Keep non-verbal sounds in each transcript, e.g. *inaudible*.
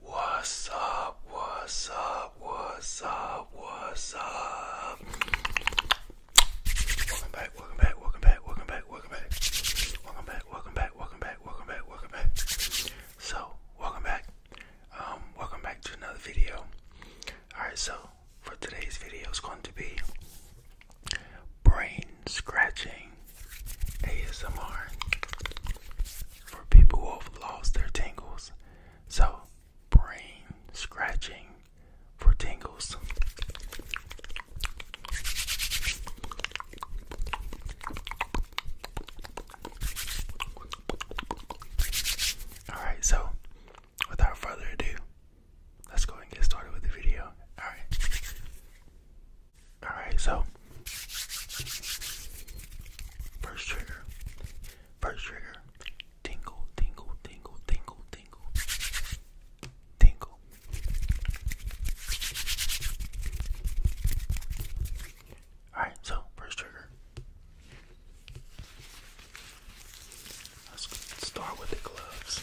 What's up? What's up? What's up? What's up? Welcome back, welcome back, welcome back, welcome back, welcome back. Welcome back, welcome back, welcome back, welcome back, welcome back. So, welcome back. Um, welcome back to another video. Alright, so for today's video is going to be brain scratching. ASMR for people who have lost their tingles. So, brain scratching for tingles. Alright, so without further ado, let's go and get started with the video. Alright. Alright, so first trigger, first trigger, tingle, tingle, tingle, tingle, tingle, tingle. Alright, so first trigger. Let's start with the gloves.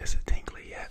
Is it tingly yet?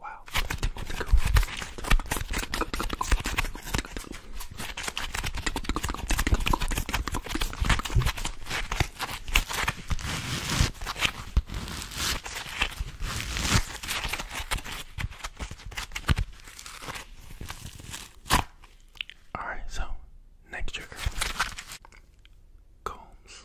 Wow. All right, so next trigger combs.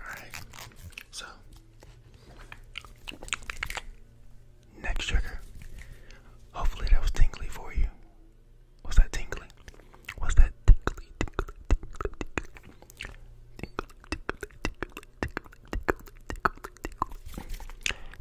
Alright, so next trigger. Hopefully that was tingly for you. What's that tingly? Was that tingly,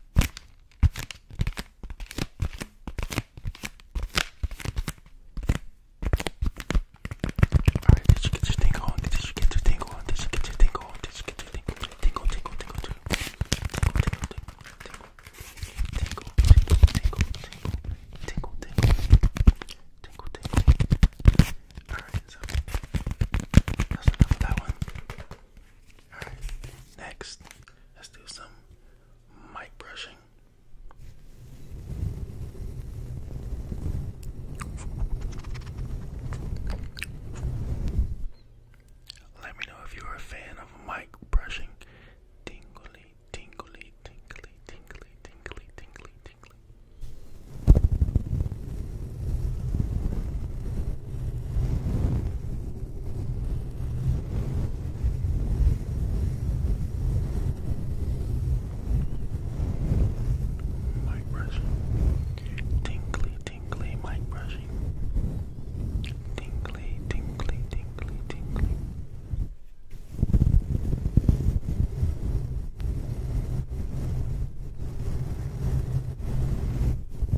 Alright, did you get your tingle on? Did you get your tingle on? Did you get your tingle on? Did you get your tingle on? Tingle, tingle, tingle, tingle, tingle, tingle, tingle, tingle, tingle, tingle, tingle, tingle, tingle, tingle. Alright, so that's enough of that one. Alright, next, let's do some mic brushing. Let me know if you're a fan of mic brushing. Tingly, tingly, tingly, tingly, tingly, tingly, tingly. Mic brushing. Tinkly, tinkly, mic brushing. Tinkly, tinkly, tinkly, tinkly. Tinkly,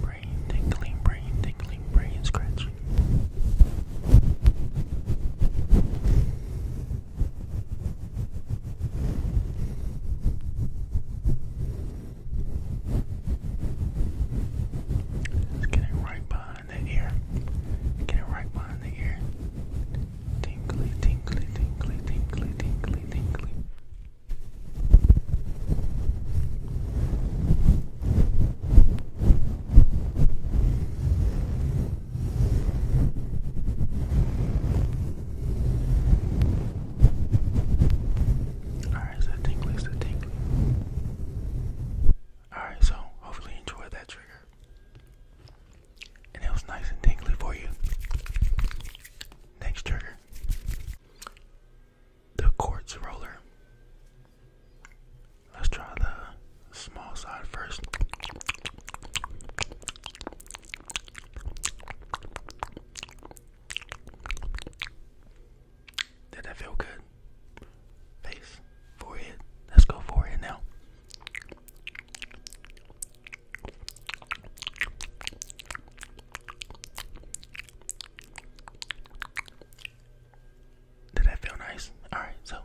Brain tingling, brain tingling, brain scratching. get it right behind the ear. Get it right behind the ear. Tinkly, tinkly, tinkly, tinkly, tinkly, tinkly. Alright, so that tingly is the Alright, so hopefully you enjoyed that trigger. And it was nice and tingly for you. Next turn, The quartz roller. Let's try the small side first. Did that feel good? Face, forehead. Let's go forehead now. Did that feel nice? Alright, so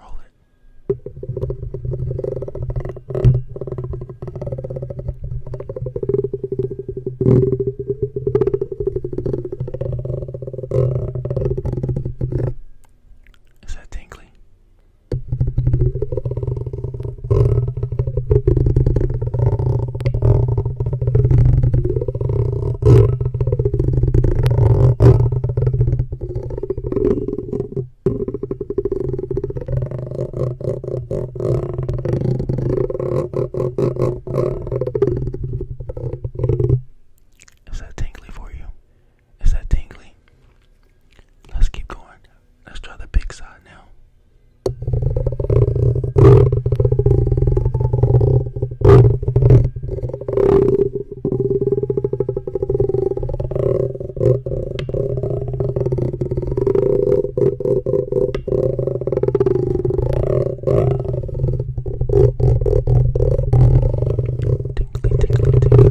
roll it. Is that tingly? Is that tingly for you? Is that tingly? Let's keep going. Let's try the big side now. Tinkly, tinkly, tinkly,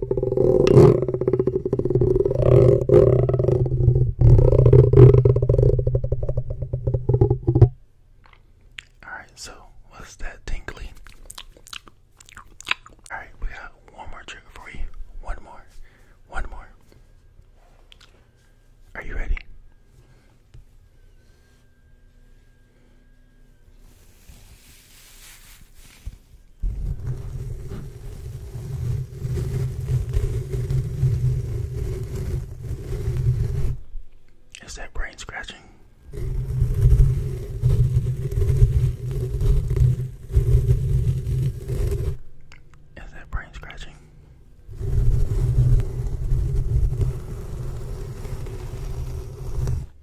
Alright, so what's that tingly? Alright, we got one more trigger for you. One more. One more. Are you ready? Is that brain scratching? Is that brain scratching?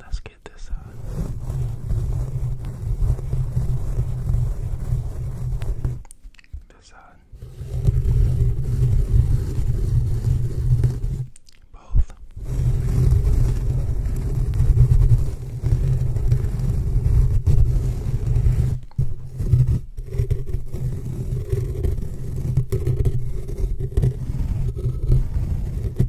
Let's get this out. Uh, this out. Uh, both.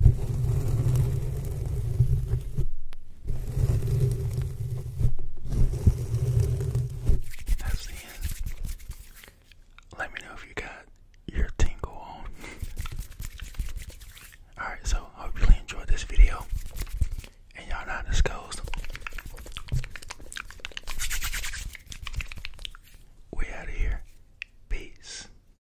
That's the end. Let me know if you got your tingle on. *laughs* Alright, so I hope you enjoyed this video. And y'all not disclosed. We out of here. Peace.